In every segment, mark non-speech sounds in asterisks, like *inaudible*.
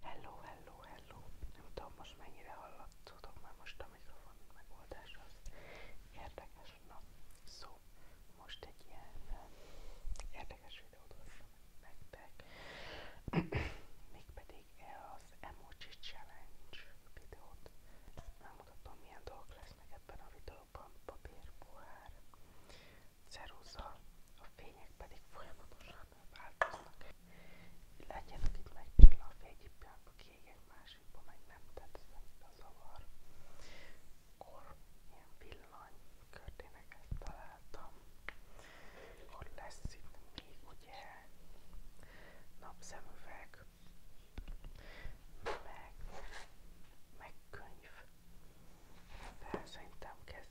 Hello, hello, hello. Nem tudom most mennyire hallatszódok már most a mikrofon megoldás az érdekes. Na, szó, most egy ilyen eh, érdekes videót hoztam nektek. *clears throat* Mégpedig az Emoji Challenge videót. Megmutatom milyen dolgok lesznek ebben a videóban. Papír, pohár, ceruza, a fények pedig folyamatosan állandóan változnak. Legyenek itt megcsillag, egyik pillanatban kék, másikban meg nem tetszik a zavar. Akkor ilyen villany ezt találtam. Akkor lesz itt még ugye napszemüveg, meg, meg könyv. De szerintem kezd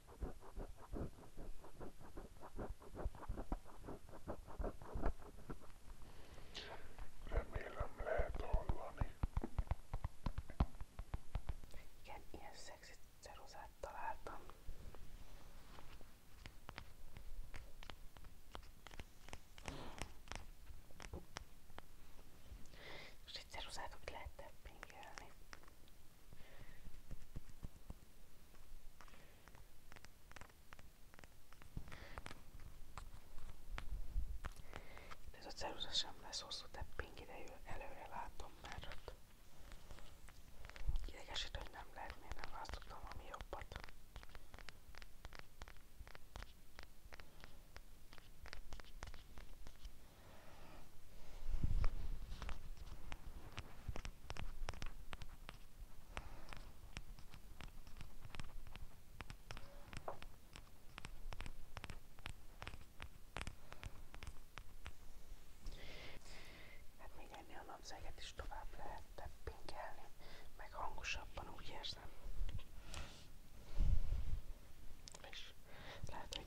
Remélem lehet hallani. Igen, ilyen szexi ceruzát találtam. Most egy ceruzát úgy lehet teppingelni. De ez a ceruza sem lesz hosszú tepping idejű, előre látom már ott. Idegesít, hogy nem lehet, miért nem választottam ami jobbat. Hát még ennél a napzeget is tovább lehet teppinkelni, meg hangosabban úgy érzem. És lehet, hogy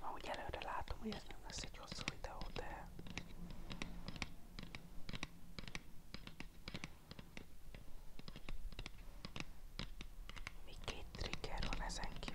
Ma úgy előre látom, hogy ez nem lesz egy hosszú videó, de még két trigger van ezen kívül.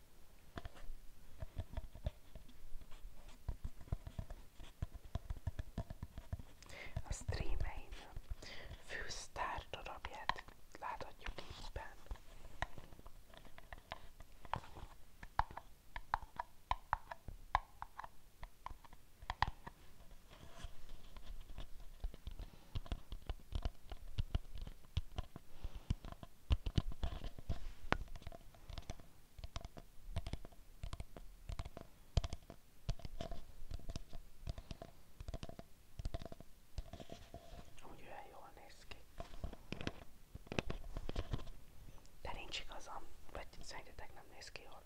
A streamein fűsztár darabját láthatjuk éppen. Úgy olyan jól néz ki. De nincs igazam, vagy szerintetek nem néz ki jól.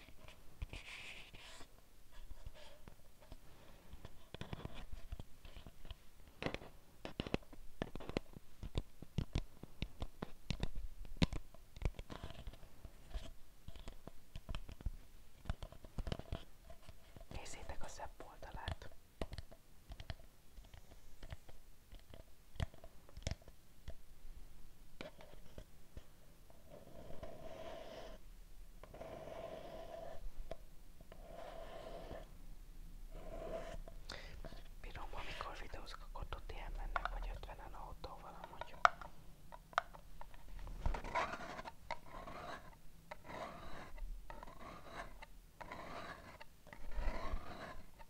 Nézzétek a szebb oldalát. Bírom, amikor videózok, akkor tudni elmennek, vagy ötvenen autóval amúgy.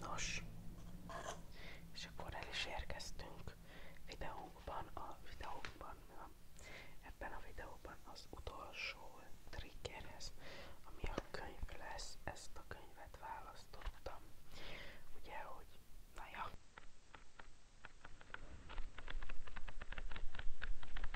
Nos, és akkor el is érkeztünk videókban, a videókban, nem? ebben a videóban az utolsó triggerhez, ami a könyv lesz, ezt a könyvet választottam. Ugye, hogy na ja.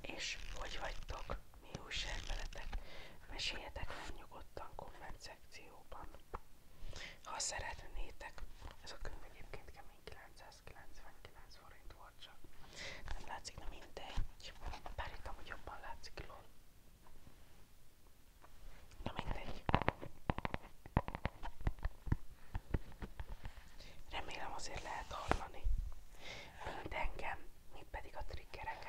És hogy vagytok? Mi újság veletek? Meséljetek meg nyugodtan komment szekcióban. Ha szeretnétek, ez a könyv egyébként kemény 900 299 forint volt csak. Nem látszik, na mindegy. Bár itt amúgy jobban látszik lol. Na mindegy. Remélem azért lehet hallani. Mint engem, mint pedig a triggereket.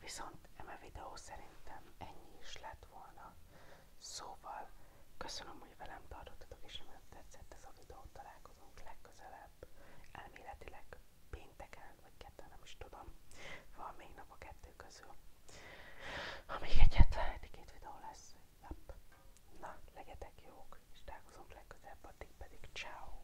Viszont eme videó szerintem ennyi is lett volna. Szóval köszönöm, hogy velem tartottatok, és remélem tetszett ez a videó. Találkozunk legközelebb, elméletileg pénteken, vagy ketten, nem is tudom. Van még nap a kettő közül. Ha még egyetlen egy két videó lesz. Yep. Na, legyetek jók, és találkozunk legközelebb, addig pedig ciao.